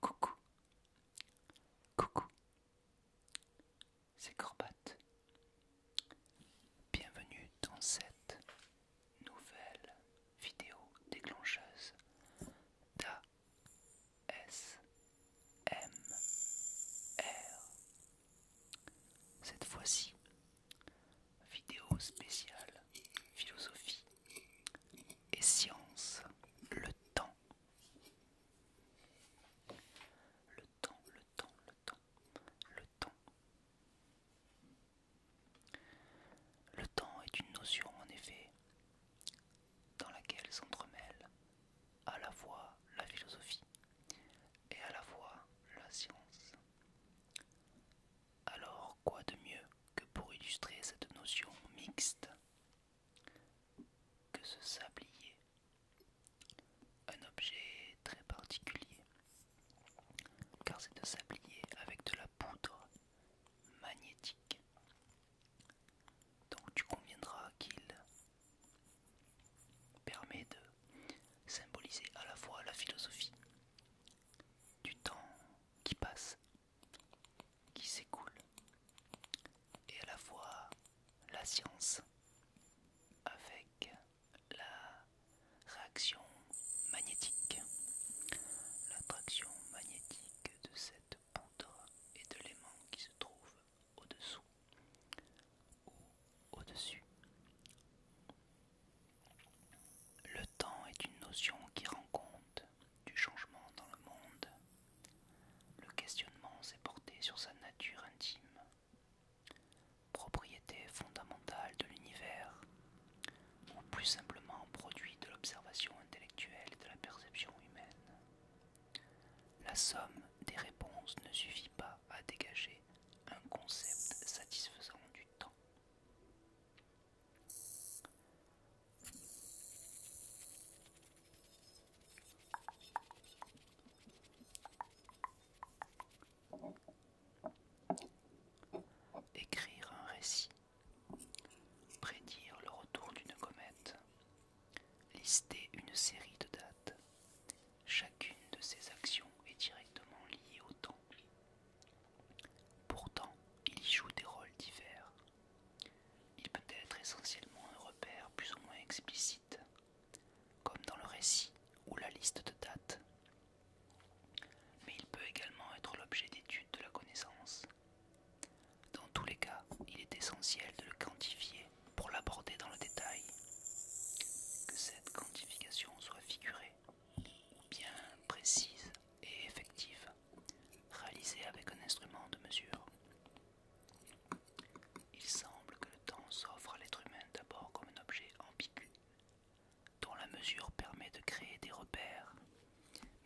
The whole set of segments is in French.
Coucou, coucou, c'est Corbat. Bienvenue dans cette nouvelle vidéo déclencheuse S d'ASMR. Cette fois-ci, vidéo spéciale philosophie et science, le temps. Le temps, le temps, le temps, le temps. Le temps est une notion en effet dans laquelle s'entremêlent à la fois la philosophie et à la fois la science. Alors quoi de mieux que pour illustrer cette notion mixte que ce sablier, un objet très particulier, car c'est de sablier avec de la poudre magnétique. Donc tu conviendras qu'il permet de symboliser à la fois la philosophie du temps qui passe qui s'écoule et à la fois la science avec la réaction magnétique, l'attraction magnétique de cette poudre et de l'aimant qui se trouve au-dessous ou au-dessus. Le temps est une notion qui rend compte du changement dans le monde le questionnement s'est porté sur sa nature intime, propriété fondamentale de l'univers, ou plus simplement produit de l'observation intellectuelle et de la perception humaine. La somme des réponses ne suffit pas à dégager un concept satisfaisant du temps. Écrire un récit. Prédire le retour d'une comète. Lister une série de dates. Chacune de ces actions est directement liée au temps. Pourtant, il y joue des rôles divers, il peut être essentiellement un repère plus ou moins explicite, comme dans le récit ou la liste de dates. Mais il peut également être l'objet d'études de la connaissance. Dans tous les cas, il est essentiel de le quantifier pour l'aborder dans le détail. Que cette quantification soit figurée, bien précise et effective. Ralisé avec un instrument de mesure. Il semble que le temps s'offre à l'être humain d'abord comme un objet ambigu, dont la mesure permet de créer des repères,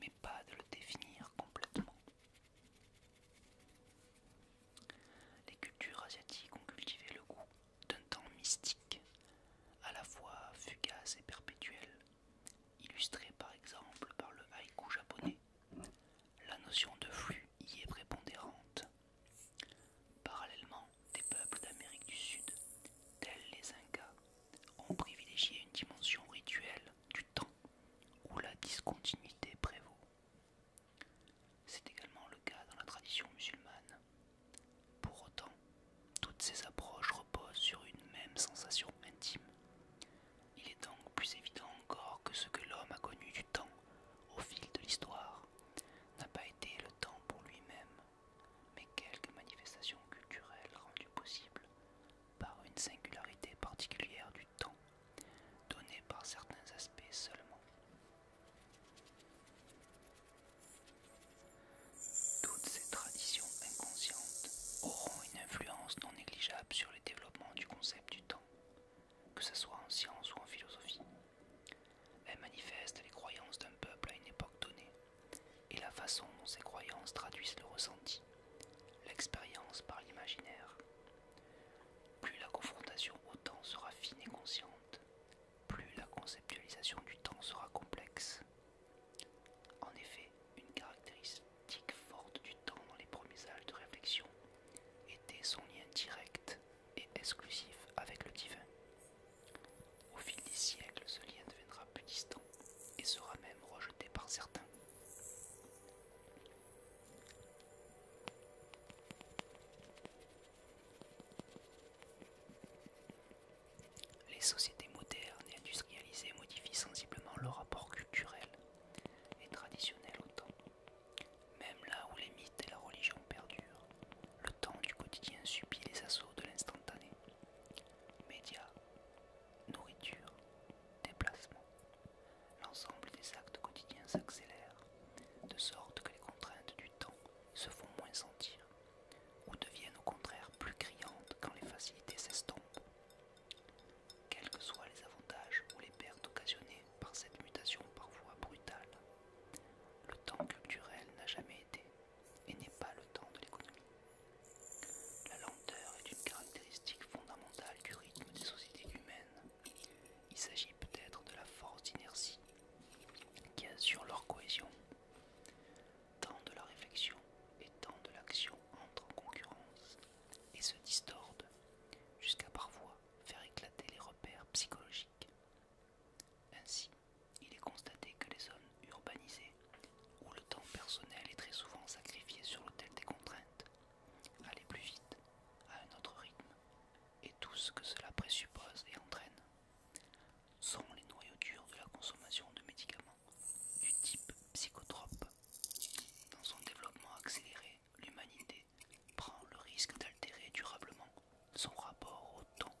mais pas de le définir complètement. Les cultures asiatiques ont cultivé le goût d'un temps mystique, à la fois fugace et perpétuel, illustré par exemple par le haïku japonais la notion de flux y est prépondérante. Parallèlement, des peuples d'Amérique du Sud, tels les Incas, ont privilégié une dimension rituelle du temps où la discontinuité prévaut. C'est également le cas dans la tradition musulmane. Pour autant, toutes ces approches reposent sur une même sensation intime, il est donc plus évident encore que ce que l'homme a connu du temps au fil de l'histoire n'a pas été le temps pour lui-même, mais quelques manifestations culturelles rendues possibles par une singularité particulière du temps, donnée par certains aspects seulement. Toutes ces traditions inconscientes auront une influence non négligeable sur les développements du concept du temps, que ce soit en science ou en philosophie. Elle manifeste les croyances d'un peuple à une époque donnée et la façon dont ces croyances traduisent le ressenti, l'expérience par l'imaginaire. Plus la confrontation au temps sera fine et consciente, plus la conceptualisation du temps sera complexe. En effet, une caractéristique forte du temps dans les premiers âges de réflexion était son lien direct et exclusif avec le divin. Au fil des siècles, ce lien deviendra plus distant et sera même rejeté par certains. Les sociétés modernes et industrialisées modifient sensiblement le rapport culturel et au temps, Même là où les mythes et la religion perdurent, le temps du quotidien subit les assauts de l'instantané. Médias, nourriture, déplacement, l'ensemble des actes quotidiens s'accélère, de sorte que les contraintes du temps se font moins sentir, ou deviennent au contraire plus criantes quand les facilités s'estompent quels que soient les avantages ou les pertes occasionnées par cette mutation parfois brutale. Le temps culturel n'a jamais été et n'est pas le temps de l'économie. La lenteur est une caractéristique fondamentale du rythme des sociétés humaines. Il s'agit peut-être de la force d'inertie qui assure leur cohésion. Tant de la réflexion et tant de l'action entrent en concurrence et se distordent, jusqu'à parfois faire éclater les repères psychologiques. Ainsi, il est constaté que les zones urbanisées, où le temps personnel est très souvent sacrifié sur l'autel des contraintes, aller plus vite, à un autre rythme, et tout ce que cela présuppose et entraîne, sont les noyaux durs de la consommation de médicaments du type psychotrope, dans son développement accéléré l'humanité prend le risque d'altérer durablement son rapport au temps.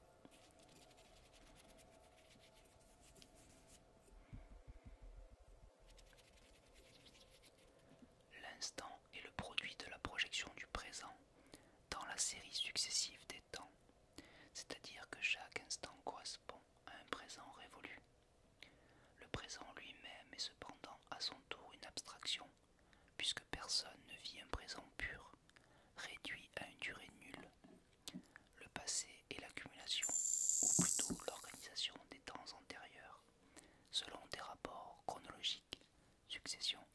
L'instant est le produit de la projection du présent dans la série successive des temps, c'est-à-dire que chaque instant correspond à un présent révolu. Le présent lui-même est cependant à son tour une abstraction, puisque personne ne vit un présent pur, réduit à une durée nulle. Le passé est l'accumulation, ou plutôt l'organisation des temps antérieurs, selon des rapports chronologiques, successions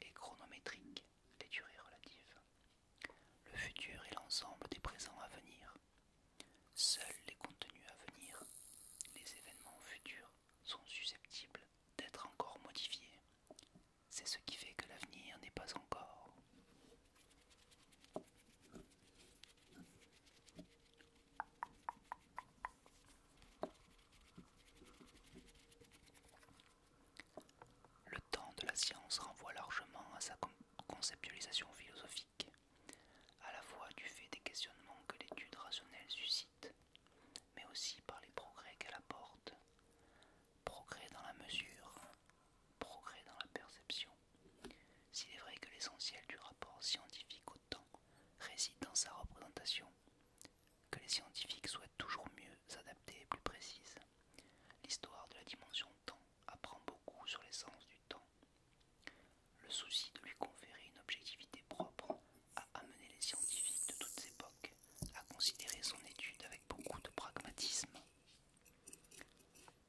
et chronométriques, les durées relatives. Le futur est l'ensemble des présents à venir, Seuls les contenus à venir, les événements futurs, sont susceptibles d'être encore modifiés. C'est ce qui fait que l'avenir n'est pas encore. Le temps de la science renvoie largement à sa conceptualisation philosophique à la fois du fait des questionnements que l'étude rationnelle suscite, mais aussi par les progrès qu'elle apporte, progrès dans la mesure, progrès dans la perception. S'il est vrai que l'essentiel du rapport scientifique au temps réside dans sa représentation, que les scientifiques souhaitent toujours mieux s'adapter et plus précises, l'histoire de la dimension temps apprend beaucoup sur l'essence du temps le souci de lui conférer une objectivité propre a amené les scientifiques de toutes époques à considérer son étude avec beaucoup de pragmatisme.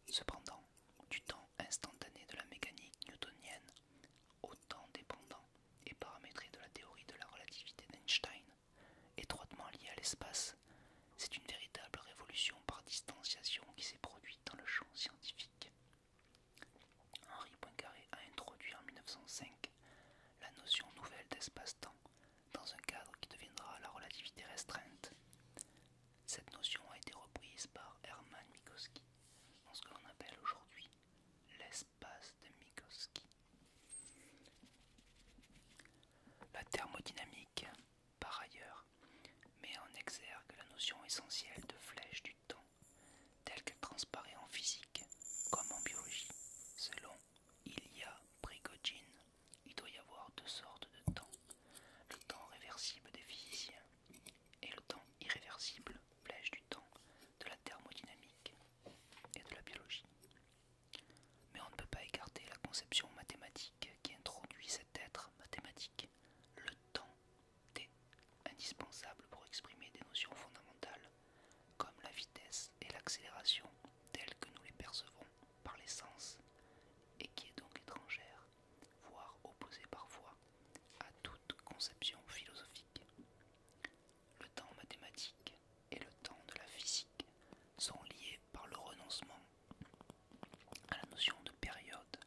Cependant, du temps instantané de la mécanique newtonienne, au temps dépendant et paramétré de la théorie de la relativité d'Einstein, étroitement liée à l'espace, c'est une véritable révolution par distanciation qui s'est produite dans le champ scientifique. Henri Poincaré a introduit en 1905 la notion nouvelle d'espace-temps dans un cadre qui deviendra la relativité restreinte. Cette notion a été reprise par Hermann Minkowski dans ce que l'on appelle aujourd'hui l'espace de Minkowski. La thermodynamique, par ailleurs, met en exergue la notion essentielle de flèche du tel qu'elle transparaît en physique comme en biologie. Selon Ilya Prigogine, il doit y avoir deux sortes de temps, le temps réversible des physiciens et le temps irréversible, flèche du temps, de la thermodynamique et de la biologie. Mais on ne peut pas écarter la conception mathématique qui introduit cet être mathématique, le temps indispensable pour exprimer des notions fondamentales comme la vitesse et l'accélération telles que nous les percevons par les sens et qui est donc étrangère, voire opposée parfois à toute conception philosophique. Le temps mathématique et le temps de la physique sont liés par le renoncement à la notion de période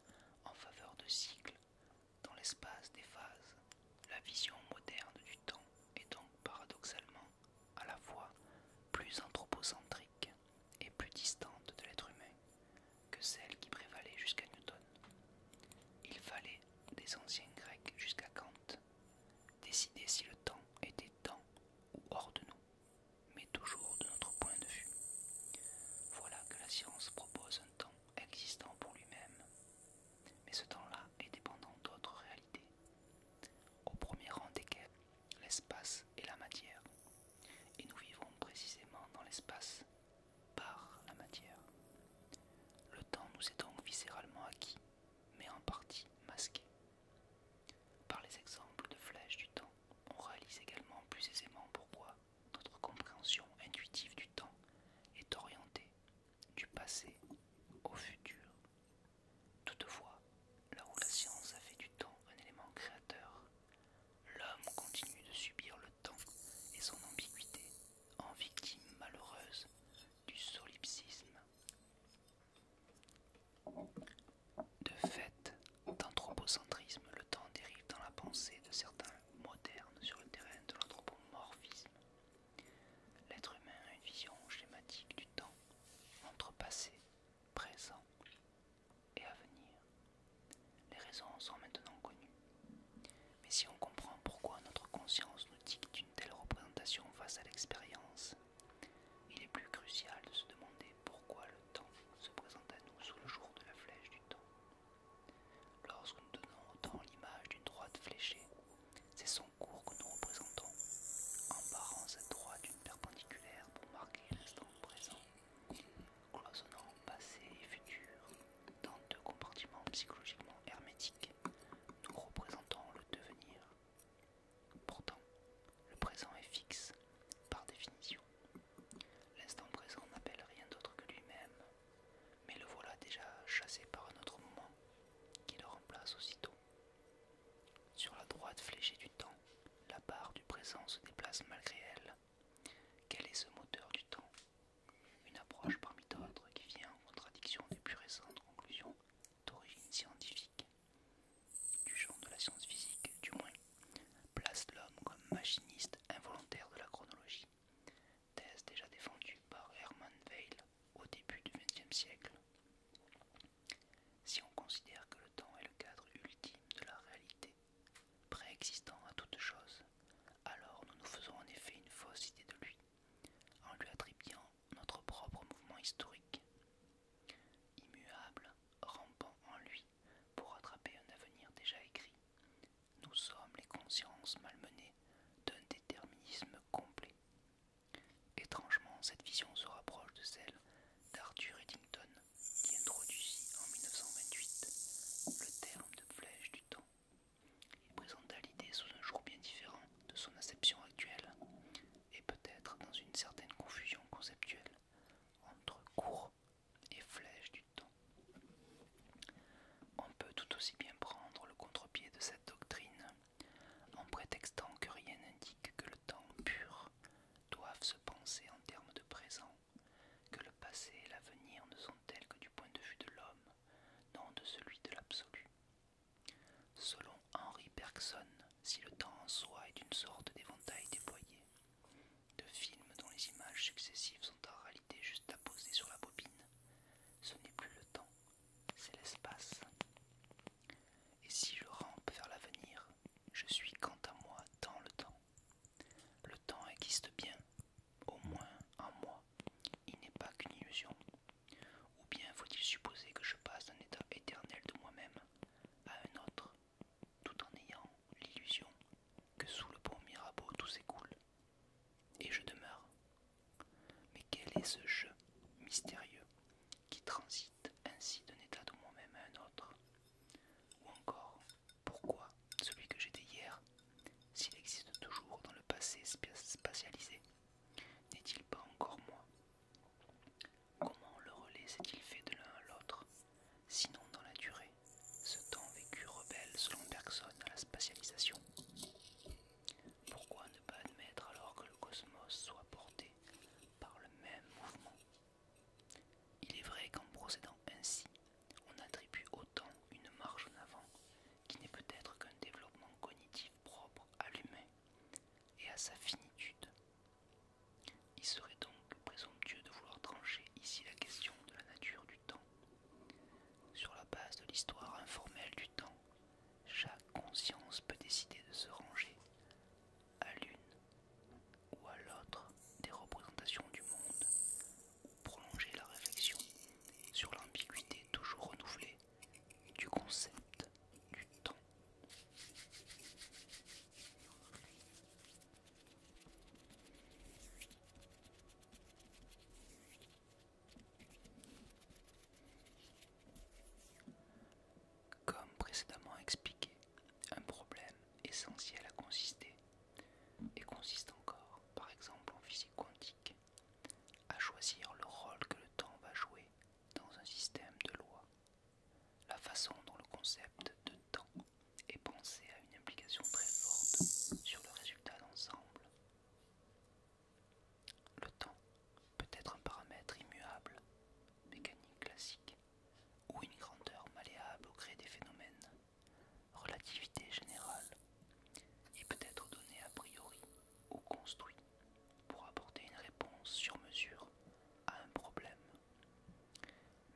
en faveur de cycle dans l'espace des phases. La vision moderne du temps est donc paradoxalement à la fois plus anthropocentrique et plus distante de l'être humain que celle qui prévalait jusqu'à Newton. Il fallait, des anciens Grecs jusqu'à Kant, décider si le temps était temps ou hors de nous, mais toujours de notre point de vue. Voilà que la science propose un temps existant pour lui-même, mais ce temps-là est dépendant d'autres réalités, au premier rang desquelles l'espace et la matière. Et nous vivons précisément dans l'espace par la matière. Le temps nous est donc viscéralement acquis, mais en partie masqué. Par les exemples de flèches du temps, on réalise également plus aisément pourquoi notre compréhension intuitive du temps est orientée du passé au futur. Toutefois, là où la science a fait du temps un élément créateur, l'homme continue de subir le temps et son ambiguïté en victime malheureuse du solipsisme. De fait, d'anthropocentrisme, le temps dérive dans la pensée de certains moderne sur le terrain de l'anthropomorphisme. L'être humain a une vision schématique du temps entre passé, présent et avenir. Les raisons sont maintenant connues. Mais si on comprend pourquoi notre conscience nous dicte une telle représentation face à l'expérience, il est plus crucial de se demander pourquoi le temps se présente à nous sous le jour de la flèche du temps. Lorsque nous donnons autant l'image d'une droite fléchée, c'est son cours que nous représentons, en barrant cette droite d'une perpendiculaire pour marquer l'instant présent, cloisonnant passé et futur dans deux compartiments psychologiquement hermétiques, nous représentons le devenir. Pourtant, le présent est fixe, par définition. L'instant présent n'appelle rien d'autre que lui-même mais le voilà déjà chassé par un autre moment qui le remplace aussitôt. Sur la droite fléchée du temps, la barre du présent se déplace malgré elle. Quel est ce moteur du temps Une approche parmi d'autres qui vient en contradiction des plus récentes conclusions d'origine scientifique. Du genre de la science physique, du moins, place l'homme comme machiniste involontaire de la chronologie thèse déjà défendue par Hermann Weil au début du XXe siècle. Si on considère que le temps est le cadre ultime de la réalité, préexistant à toute chose, alors nous nous faisons en effet une fausse idée de lui, en lui attribuant notre propre mouvement historique. Immuable, rampant en lui pour rattraper un avenir déjà écrit, nous sommes les consciences malmenées d'un déterminisme complet. Étrangement, cette vision se rapproche de celle d'Arthur Eddington, qui introduisit en 1928 le terme de flèche du temps. Il présenta l'idée sous un jour bien différent de son acception actuelle, et peut-être dans une certaine confusion conceptuelle entre cours et flèche du on peut tout aussi bien prendre le contre-pied de cette doctrine en prétextant que rien n'indique que le temps pur doive se penser en termes de présent, que le passé et l'avenir ne sont tels que du point de vue de l'homme, non de celui de l'absolu. Selon Henri Bergson, si le temps en soi est une sorte d'éventail déployé, de films dont les images successives en réalité juste à poser sur la bobine. Ce n'est plus le temps, c'est l'espace. Et si je rampe vers l'avenir, je suis quant à moi dans le temps. Le temps existe bien, au moins en moi. Il n'est pas qu'une illusion. Ou bien faut-il supposer que je passe d'un état éternel de moi-même à un autre, tout en ayant l'illusion que sous le pont Mirabeau tout s'écoule et je demeure. Mais quel est ce jeu mystérieux qui transite ainsi d'un état de moi-même à un autre Ou encore, pourquoi celui que j'étais hier, s'il existe toujours dans le passé spatialisé, n'est-il pas encore moi Comment le relais s'est-il fait de l'un à l'autre, sinon dans la durée, ce temps vécu rebelle selon personne à la spatialisation pourquoi ne pas admettre alors que le cosmos soit porté par le même mouvement Il est vrai qu'en procédant ainsi, on attribue au temps une marge en avant qui n'est peut-être qu'un développement cognitif propre à l'humain et à sa finitude. Il serait donc présomptueux de vouloir trancher ici la question de la nature du temps, sur la base de l'histoire informelle du temps, chaque conscience peut décider de se ranger à l'une ou à l'autre des représentations du monde, ou prolonger la réflexion sur l'ambiguïté toujours renouvelée du concept du temps. Comme précédemment expliqué, un problème essentiel a consisté, et consiste encore, par exemple en physique quantique, à choisir le rôle que le temps va jouer dans un système de lois, la façon dont le concept de temps est pensé a une implication très forte sur le résultat d'ensemble. Le temps peut être un paramètre immuable, mécanique classique, ou une grandeur malléable au gré des phénomènes. Relativité générale et peut être donné a priori ou construit pour apporter une réponse sur mesure à un problème.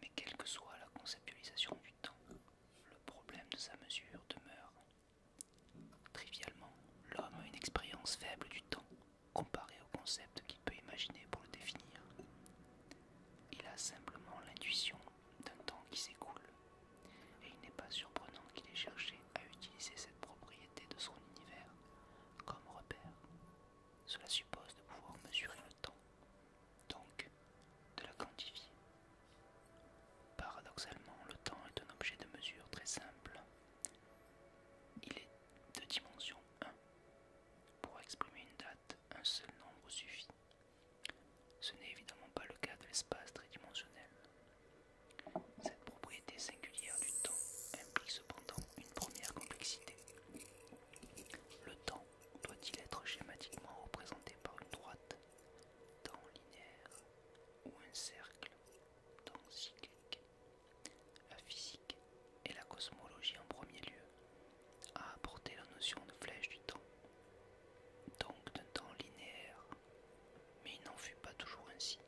Mais quelle que soit la conceptualisation du temps, le problème de sa mesure demeure Trivialement, l'homme a une expérience faible du temps comparée au concept qu'il peut imaginer pour le définir. Il a simplement l'intuition d'un temps qui s'écoule, et il n'est pas surprenant qu'il ait cherché à utiliser cette propriété de son univers comme repère. Cela suppose de pouvoir mesurer le temps, donc de la quantifier. Paradoxalement, le temps est un objet de mesure très simple. Il est de dimension 1. Pour exprimer une date, un seul nombre suffit. Ce n'est évidemment pas le cas de l'espace tridimensionnel. Cette propriété singulière du temps implique cependant une première complexité. Le temps doit-il être schématiquement représenté par une droite, temps linéaire, ou un cercle dans cyclique. La physique et la cosmologie en premier lieu a apporté la notion de flèche du temps, donc d'un temps linéaire, mais il n'en fut pas toujours ainsi.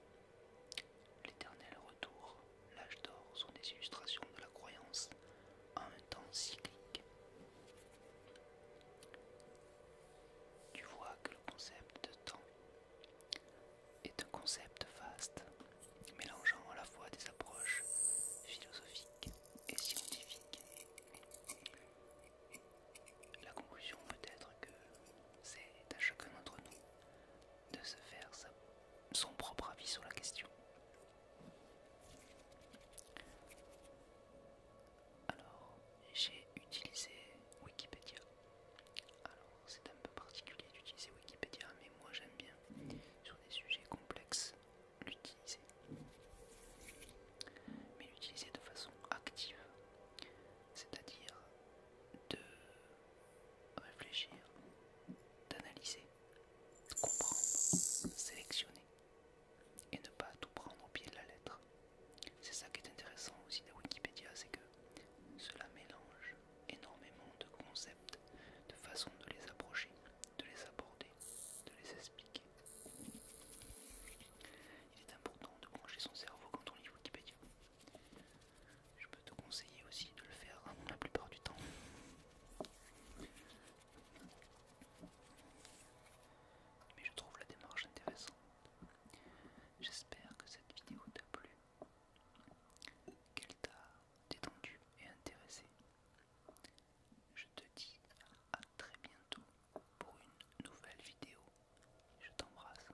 L'éternel retour, l'âge d'or sont des illustrations de la croyance en un temps cyclique tu vois que le concept de temps est un concept vaste, mélangeant à la fois des approches philosophiques et scientifiques. La conclusion peut être que c'est à chacun d'entre nous de se faire son propre avis sur la question. Alors, j'ai utilisé Wikipédia. Alors, c'est un peu particulier d'utiliser Wikipédia, mais moi j'aime bien, sur des sujets complexes, l'utiliser. Mais l'utiliser de façon active, c'est-à-dire de réfléchir, d'analyser, de comprendre, sélectionner et ne pas tout prendre au pied de la lettre. C'est ça qui est intéressant aussi de Wikipédia, c'est que cela mélange énormément de concepts, de façons de les approcher, de les aborder, de les expliquer. Il est important de brancher son cerveau quand on lit Wikipédia. Je peux te conseiller aussi de le faire hein, la plupart du temps. Mais je trouve la démarche intéressante. J'espère que cette vidéo t'a plu, qu'elle t'a détendu et intéressé. Je te dis à très bientôt pour une nouvelle vidéo. Je t'embrasse.